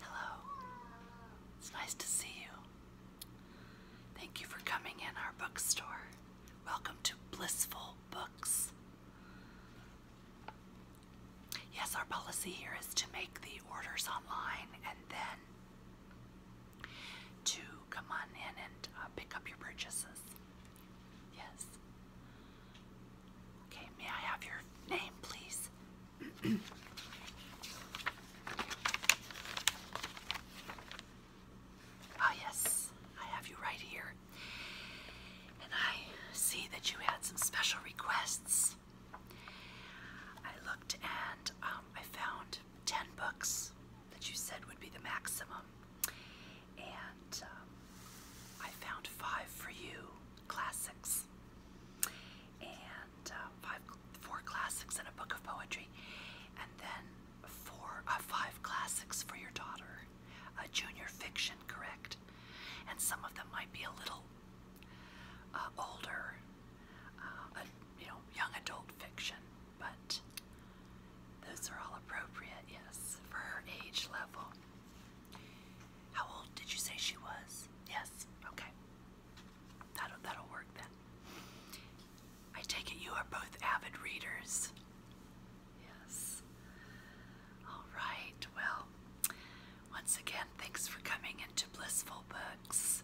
Hello. It's nice to see you. Thank you for coming in our bookstore. Welcome to Blissful Books. Yes, our policy here is to make the orders online and then to come on in and uh, pick up your purchases. Yes. Okay, may I have your name, please? oh, yes, I have you right here. And I see that you had some special requests. I looked and um, I found 10 books that you said would be the maximum. And um, I found five for you, classics and uh, four classics and a book of poetry, and then four, uh, five classics for your daughter, a junior fiction, correct? And some of them might be a little uh, older, you know, young adult fiction, but those are all appropriate, yes, for her age level. How old did you say she was? Yes. Okay. That'll that'll work then. I take it you are both avid readers. Yes. All right. Well, once again, thanks for coming into Blissful Books,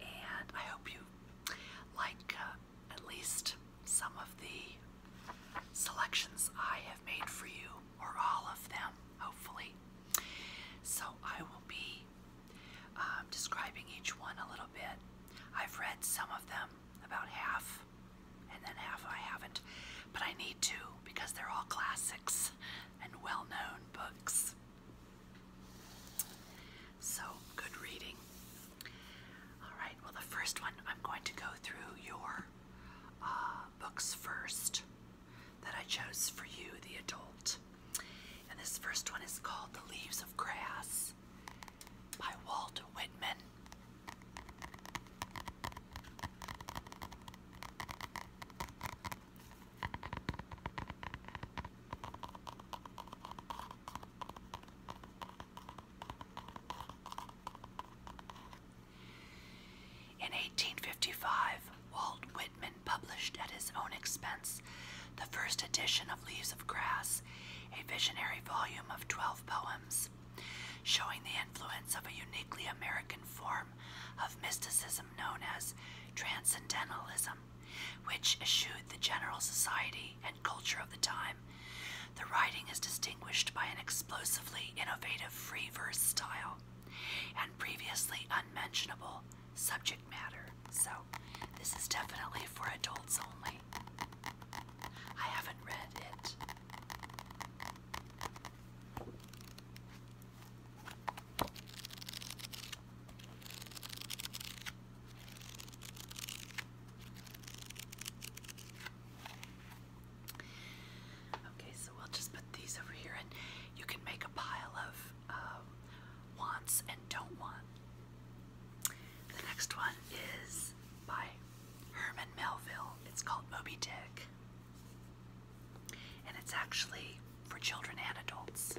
and I hope you like uh, at least some of the selections I have made for you or all of them, hopefully. So I will be um, describing each one a little bit. I've read some of them, about half, and then half I haven't, but I need to because they're all classics and well known books. So, good reading. All right, well, the first one I'm going to go through your uh, books first that I chose for you, the adult. And this first one is called The Leaves of Grass by Walt Whitman. In 1855, Walt Whitman published at his own expense the first edition of Leaves of Grass, a visionary volume of 12 poems, showing the influence of a uniquely American form of mysticism known as Transcendentalism, which eschewed the general society and culture of the time. The writing is distinguished by an explosively innovative free verse style and previously unmentionable subject matter. So, this is definitely for adults only. I haven't read it. Okay, so we'll just put these over here, and you can make a pile of um, wants and don't want. The next one is by Herman Melville. It's called Moby Dick, and it's actually for children and adults.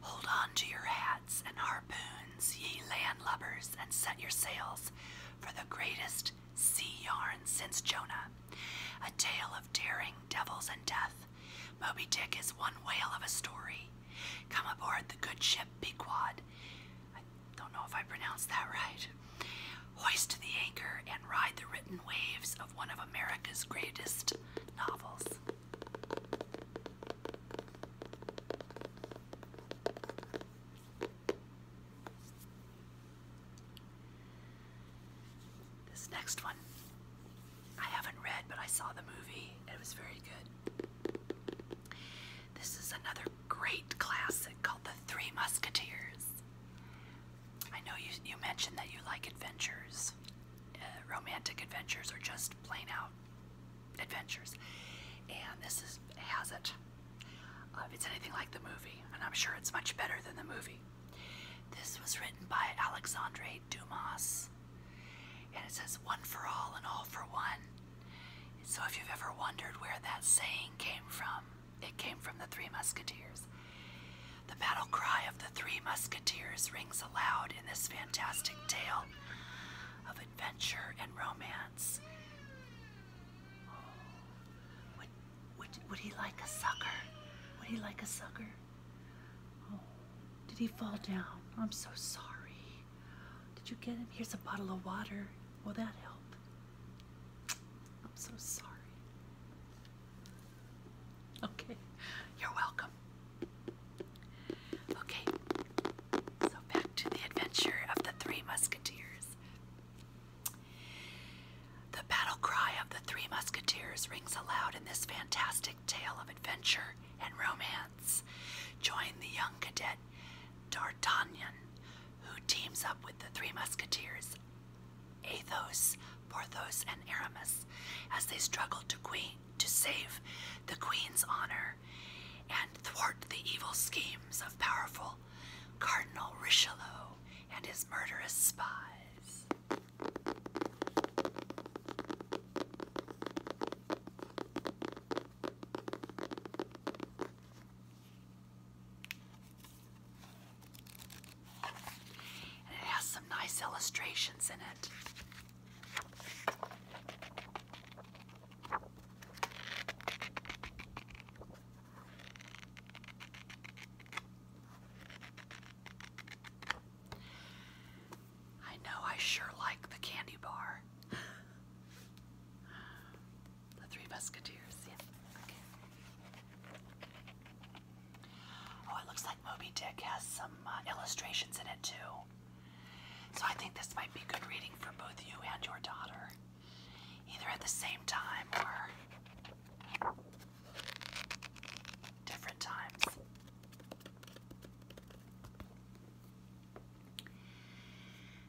Hold on to your hats and harpoons, ye land landlubbers, and set your sails for the greatest sea yarn since Jonah. A tale of daring, devils, and death. Moby Dick is one whale of a story. Come aboard the good ship Pequod. I don't know if I pronounced that right. Hoist the anchor and ride the written waves of one of America's greatest novels. This next one I haven't read, but I saw the movie. It was very good. This is another great classic called The Three Musketeers. I know you you mentioned that you like adventures, uh, romantic adventures, or just plain out adventures, and this is has it. if uh, it's anything like the movie, and I'm sure it's much better than the movie. This was written by Alexandre Dumas, and it says "one for all and all for one." So if you've ever wondered where that saying came from, it came from the Three Musketeers. The battle cry of the Three Musketeers rings aloud in this fantastic tale of adventure and romance. Oh, would, would, he like a sucker? Would he like a sucker? Oh, did he fall down? I'm so sorry. Did you get him? Here's a bottle of water. Will that help? I'm so sorry. Okay, you're welcome. Okay, so back to the adventure of the Three Musketeers. The battle cry of the Three Musketeers rings aloud in this fantastic tale of adventure and romance. Join the young cadet D'Artagnan, who teams up with the Three Musketeers Athos, Porthos, and Aramis as they struggled to, to save the queen's honor and thwart the evil schemes of powerful Cardinal Richelieu and his murderous spies it has some nice illustrations in it. I know I sure like the candy bar. the Three Musketeers, yeah. Okay. Oh, it looks like Moby Dick has some uh, illustrations in it too. So I think this might be good reading for both you and your daughter, either at the same time or different times.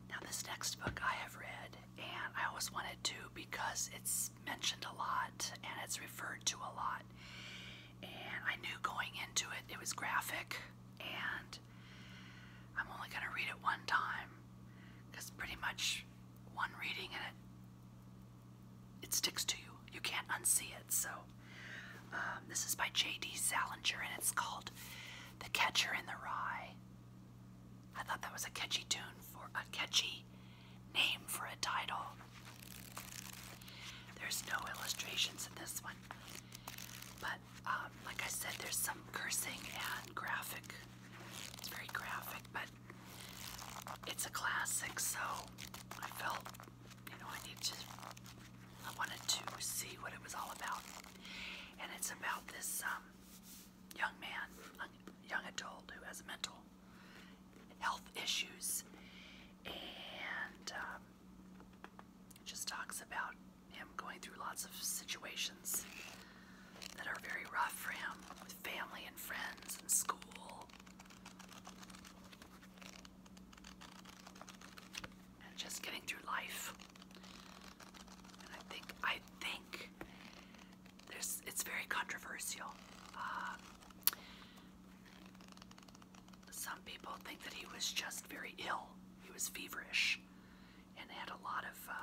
Now, this next book I have read, and I always wanted to because it's mentioned a lot and it's referred to a lot. And I knew going into it, it was graphic, and I'm only going to read it one time because pretty much one reading and it, it sticks to you. You can't unsee it. So, um, this is by J.D. Salinger, and it's called The Catcher in the Rye. I thought that was a catchy tune for a catchy name for a title. There's no illustrations in this one, but um, like I said, there's some cursing and graphic. It's very graphic, but it's a classic, so I felt, you know, I needed to, I wanted to see what it was all about. And it's about this um, young man, young adult who has a mental health issues, and um, just talks about him going through lots of situations that are very rough for him with family and friends and school. And just getting through life. And I think I think there's it's very controversial. Uh, some people think that he was just very ill. He was feverish and had a lot of uh,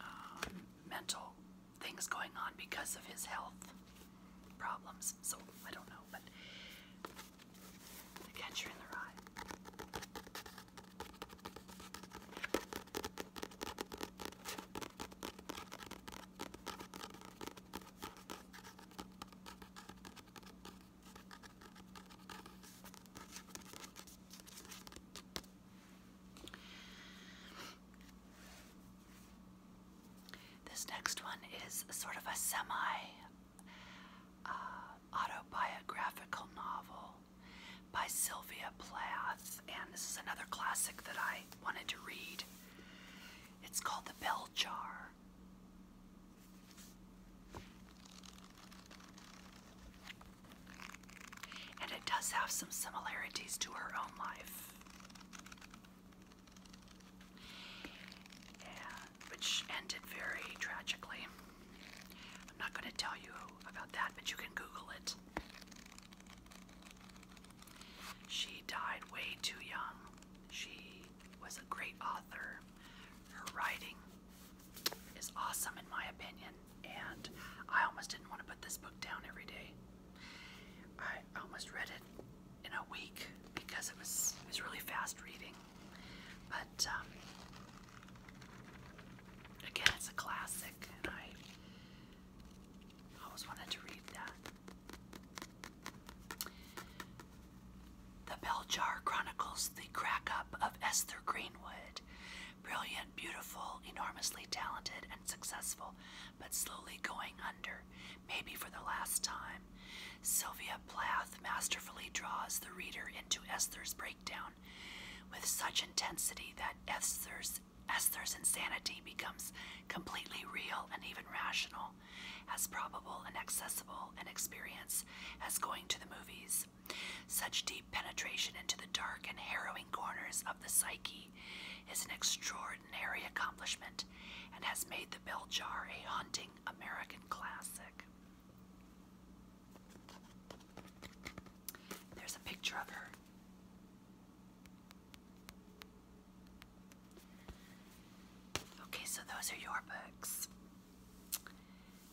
um, mental things going on because of his health problems. So I don't know, but the catcher in the rye. This next one is sort of a semi uh, autobiographical novel by Sylvia Plath, and this is another classic that I wanted to read. It's called The Bell Jar. And it does have some similarities to her own life. And, which ended very tragically. I'm not going to tell you about that, but you can Google it. She died way too young. She was a great author. Her writing is awesome, in my opinion, and I almost didn't want to put this book down every day. I almost read it in a week because it was it was really fast reading. But um, again, it's a classic, and I always wanted to read that. The Bell Jar chronicles the crack up of Esther Greenwood. Brilliant, beautiful, enormously talented, and successful, but slowly going under, maybe for the last time. Sylvia Plath masterfully draws the reader into Esther's breakdown with such intensity that Esther's as Esther's insanity becomes completely real and even rational, as probable and accessible an experience as going to the movies. Such deep penetration into the dark and harrowing corners of the psyche is an extraordinary accomplishment and has made the bell jar a haunting American classic. There's a picture of her. Okay, so those are your books.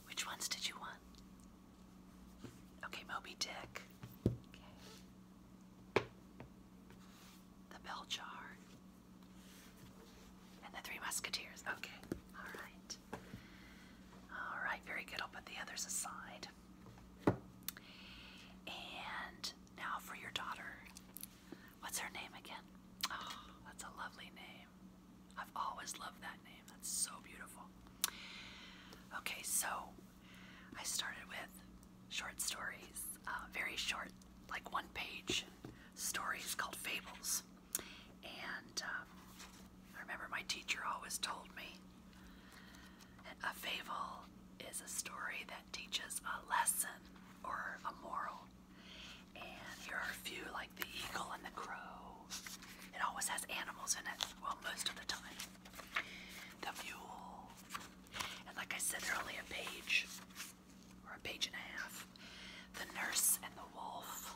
Which ones did you want? Okay, Moby Dick. The Bell Jar. And the Three Musketeers. Okay, all right. All right, very good. I'll put the others aside. And now for your daughter. What's her name again? Oh, that's a lovely name. I've always loved that name. That's so beautiful. Okay, so I started with short stories, uh, very short, like one page stories called fables. And um, I remember my teacher always told me a fable is a story that teaches a lesson or a moral. And here are a few like the eagle and the crow. It always has animals in it, well, most of the time. The mule. And like I said, they're only a page or a page and a half. The nurse and the wolf.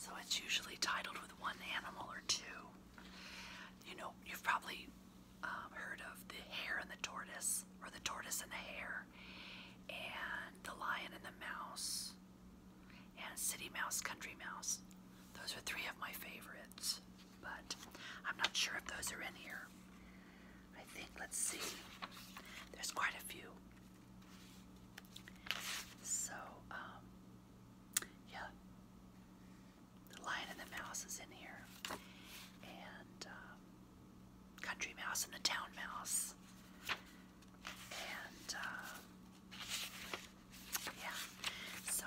So it's usually titled with one animal or two. You know, you've probably um, heard of the hare and the tortoise, or the tortoise and the hare, and the lion and the mouse, and city mouse, country mouse. Those are three of my favorites, but I'm not sure if those are in here. I think, let's see, there's quite a few. So, um, yeah, the Lion and the Mouse is in here, and um, Country Mouse and the Town Mouse, and um, yeah, so.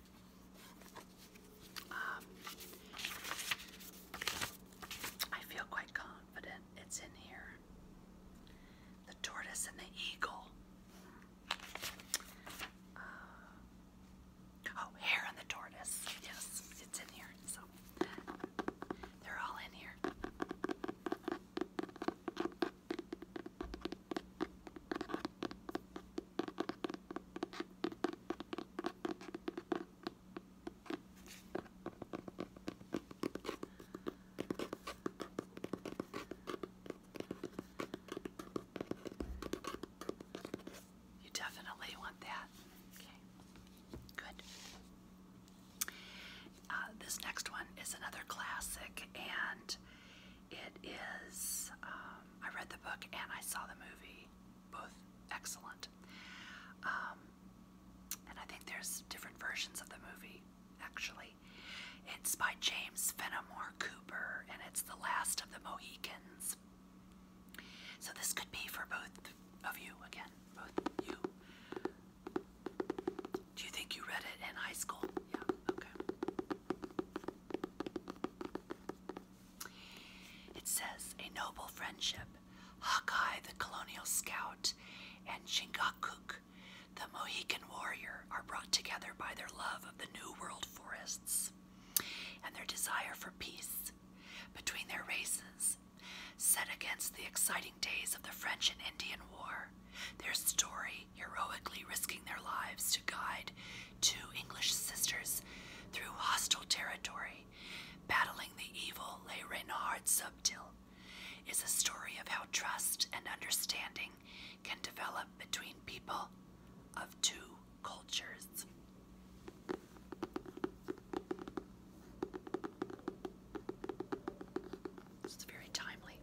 Um, I feel quite confident it's in here. The tortoise and the eagle. Uh, oh, hare and the tortoise. Yes, it's in here. So they're all in here. You definitely want that. Okay, good. Uh, this next one is another classic, and it is. Um, I read the book and I saw the movie both excellent. Um, and I think there's different versions of the movie, actually. It's by James Fenimore Cooper, and it's The Last of the Mohicans. So this could be for both of you, again, both you. Do you think you read it in high school? Yeah, okay. It says a noble friendship, Hawkeye the colonial scout and Chingachgook the Mohican warrior are brought together by their love of the New World forests and their desire for peace between their races. Set against the exciting days of the French and Indian War, their story heroically risking their lives to guide two English sisters through hostile territory, battling the evil lay written subtil, is a story of how trust and understanding can develop between people of two cultures. It's very timely.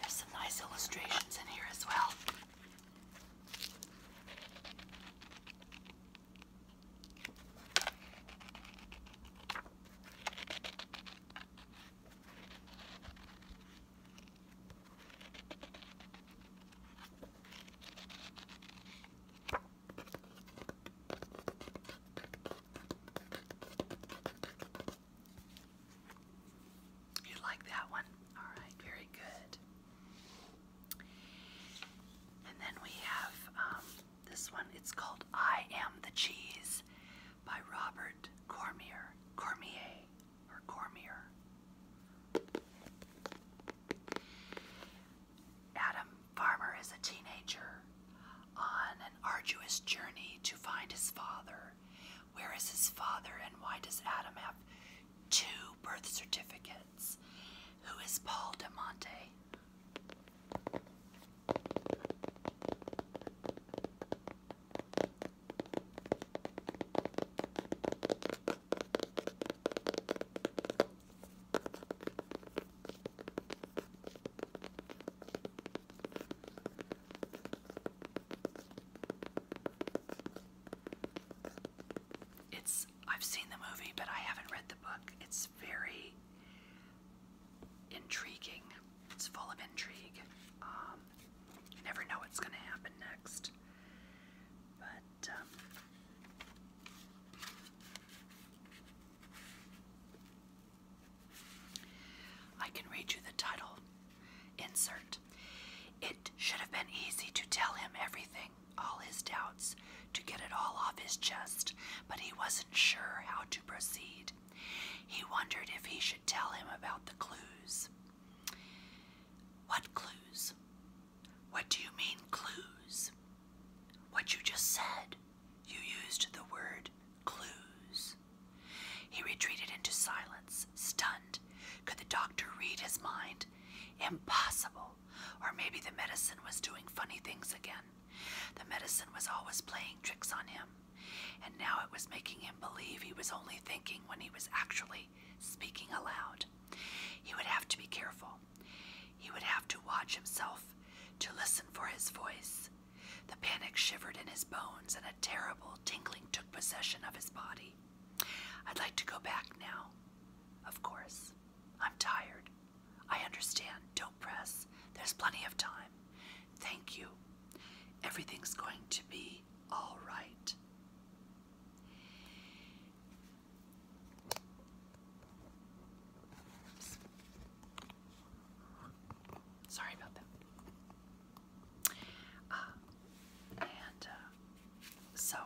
There's some nice illustrations in here as well. You like that one? All right, very good. And then we have um, this one, it's called I Am the Cheese by Robert Cormier. Cormier or Cormier. Adam Farmer is a teenager on an arduous journey to find his father. Where is his father, and why does Adam have two birth certificates? Who is Paul DeMonte? It's I've seen the movie, but I haven't read the book. It's very intriguing. It's full of intrigue. Um, you never know what's going to happen next. But um, I can read you the title. Insert. It should have been easy to tell him everything all his doubts to get it all off his chest, but he wasn't sure how to proceed. He wondered if he should tell him about the clues. What clues? What do you mean, clues? What you just said. You used the word clues. He retreated into silence, stunned. Could the doctor read his mind? Impossible. Or maybe the medicine was doing funny things again. The medicine was always playing tricks on him, and now it was making him believe he was only thinking when he was actually speaking aloud. He would have to be careful. He would have to watch himself to listen for his voice. The panic shivered in his bones, and a terrible tingling took possession of his body. I'd like to go back now. Of course. I'm tired. I understand. Don't press. There's plenty of time. Thank you. Everything's going to be all right. Sorry about that. Uh, and uh, so,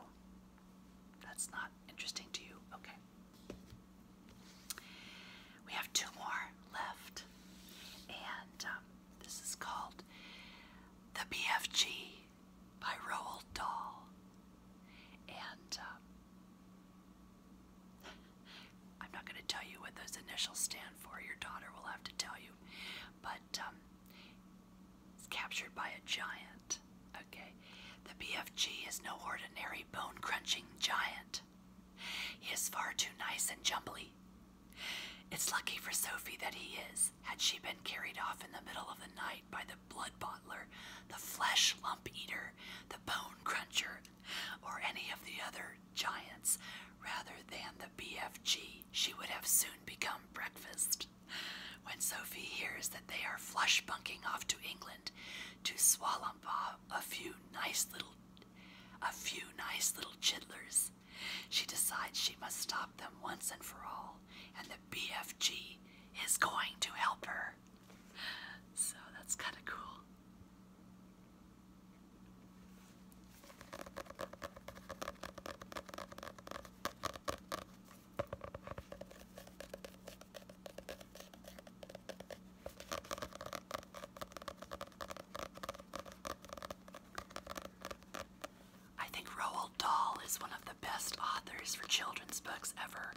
that's not interesting to you? Okay. We have two more left, and um, this is called The BFG by Roald Dahl. And um, I'm not going to tell you what those initials stand for, your daughter will have to tell you, but um, it's captured by a giant Okay, the BFG is no ordinary bone crunching giant. He is far too nice and jumbly. It's lucky for Sophie that he is. Had she been carried off in the middle of the night by the blood bottler, the flesh lump eater, the bone cruncher, or any of the other giants, rather than the BFG, she would have soon become breakfast. When Sophie hears that they are flush bunking off to England, to Swalamba a few nice little a few nice little chitlers. She decides she must stop them once and for all, and the BFG is going to help her. So that's kind of cool. I think Roald Dahl is one of the best authors for children's books ever.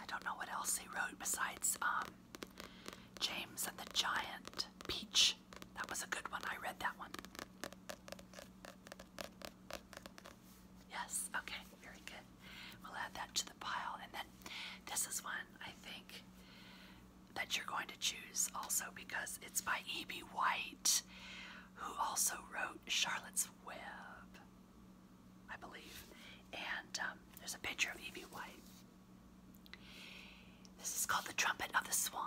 I don't know what else he wrote besides um, James and the Giant Peach. That was a good one. I read that one. Yes, okay, very good. We'll add that to the pile. And then this is one I think that you're going to choose also because it's by E.B. White, who also wrote Charlotte's Web, I believe. And um, there's a picture of E.B. White. This is called The Trumpet of the Swan.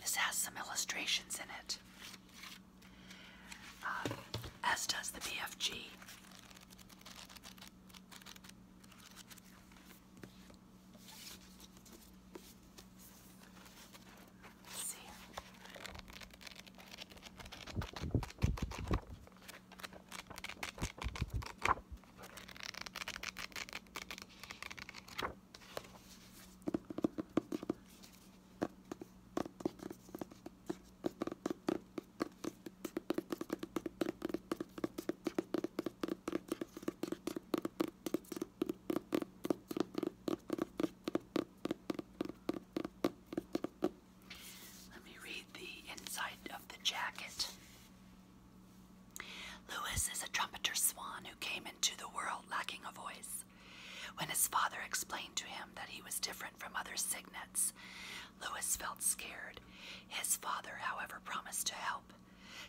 This has some illustrations in it, uh, as does the BFG. Let me read the inside of the jacket. Louis is a trumpeter swan who came into the world lacking a voice. When his father explained to him that he was different from other cygnets, Louis felt scared. His father, however, promised to help.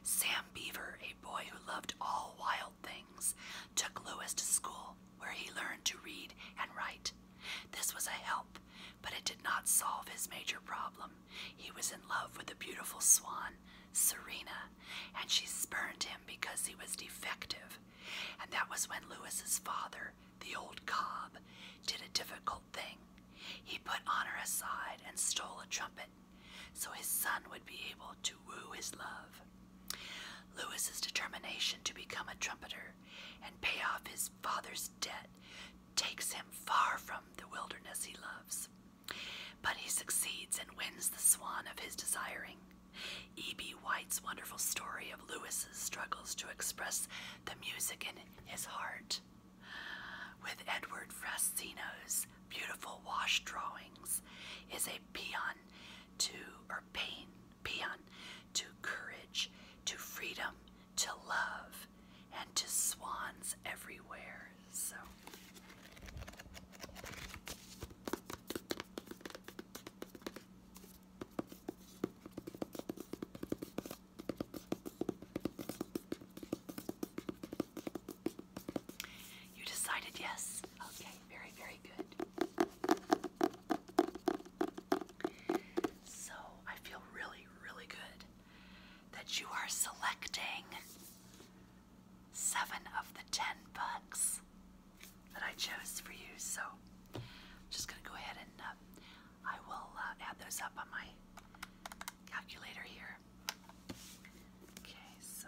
Sam Beaver, a boy who loved all wild things, took Louis to school where he learned to read and write. This was a help, but it did not solve his major problem. He was in love with a beautiful swan, Serena, and she spurned him because he was defective. And that was when Louis's father, the old cob, did a difficult thing. He put honor aside and stole a trumpet so his son would be able to woo his love. Louis's determination to become a trumpeter and pay off his father's debt takes him far from the wilderness he loves. But he succeeds and wins the swan of his desiring. E.B. White's wonderful story of Lewis's struggles to express the music in his heart, with Edward Frasino's beautiful wash drawings, is a peon to or pain, peon to courage, to freedom, to love, and to swans everywhere. So you decided yes. Okay, very, very good. So I feel really, really good that you are selecting seven of the ten bucks that I chose for you. So I'm just going to go ahead and uh, I will uh, add those up on my calculator here. Okay, so.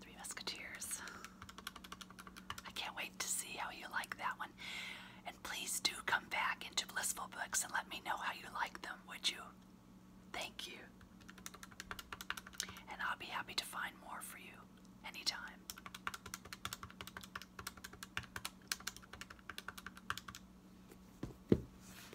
Three Musketeers. I can't wait to see how you like that one. And please do come back into Blissful Books and let me know how you like them, would you? Thank you. And I'll be happy to find more for you anytime.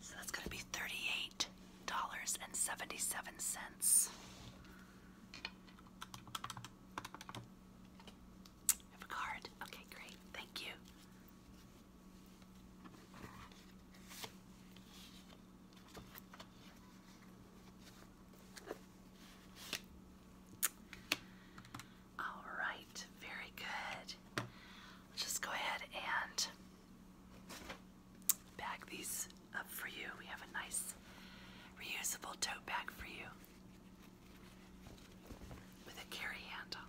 So that's going to be $38.77. Have a card? Okay, great. Thank you. All right, very good. just go ahead and bag these up for you. We have a nice reusable tote bag for you with a carry handle.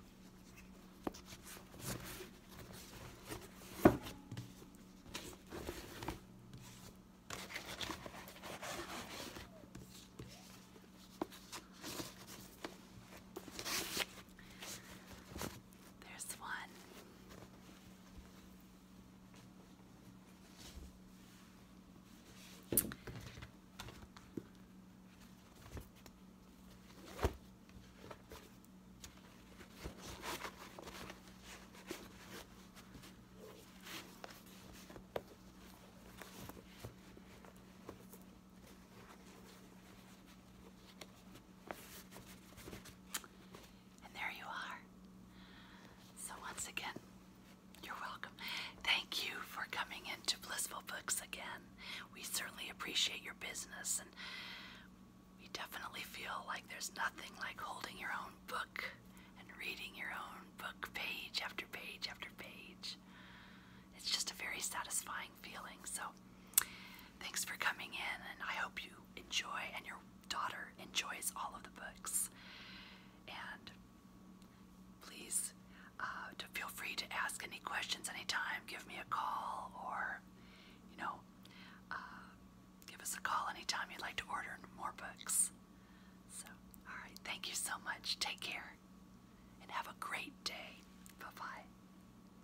There's one. And there you are. So, once again, you're welcome. Thank you for coming into Blissful Books again. We certainly appreciate your business, and we definitely feel like there's nothing like holding your own book and reading your own book page after page after page. It's just a very satisfying feeling. So, Thanks for coming in, and I hope you enjoy and your daughter enjoys all of the books. And please uh, feel free to ask any questions anytime. Give me a call or, you know, uh, give us a call anytime you'd like to order more books. So, all right, thank you so much. Take care and have a great day. Bye bye.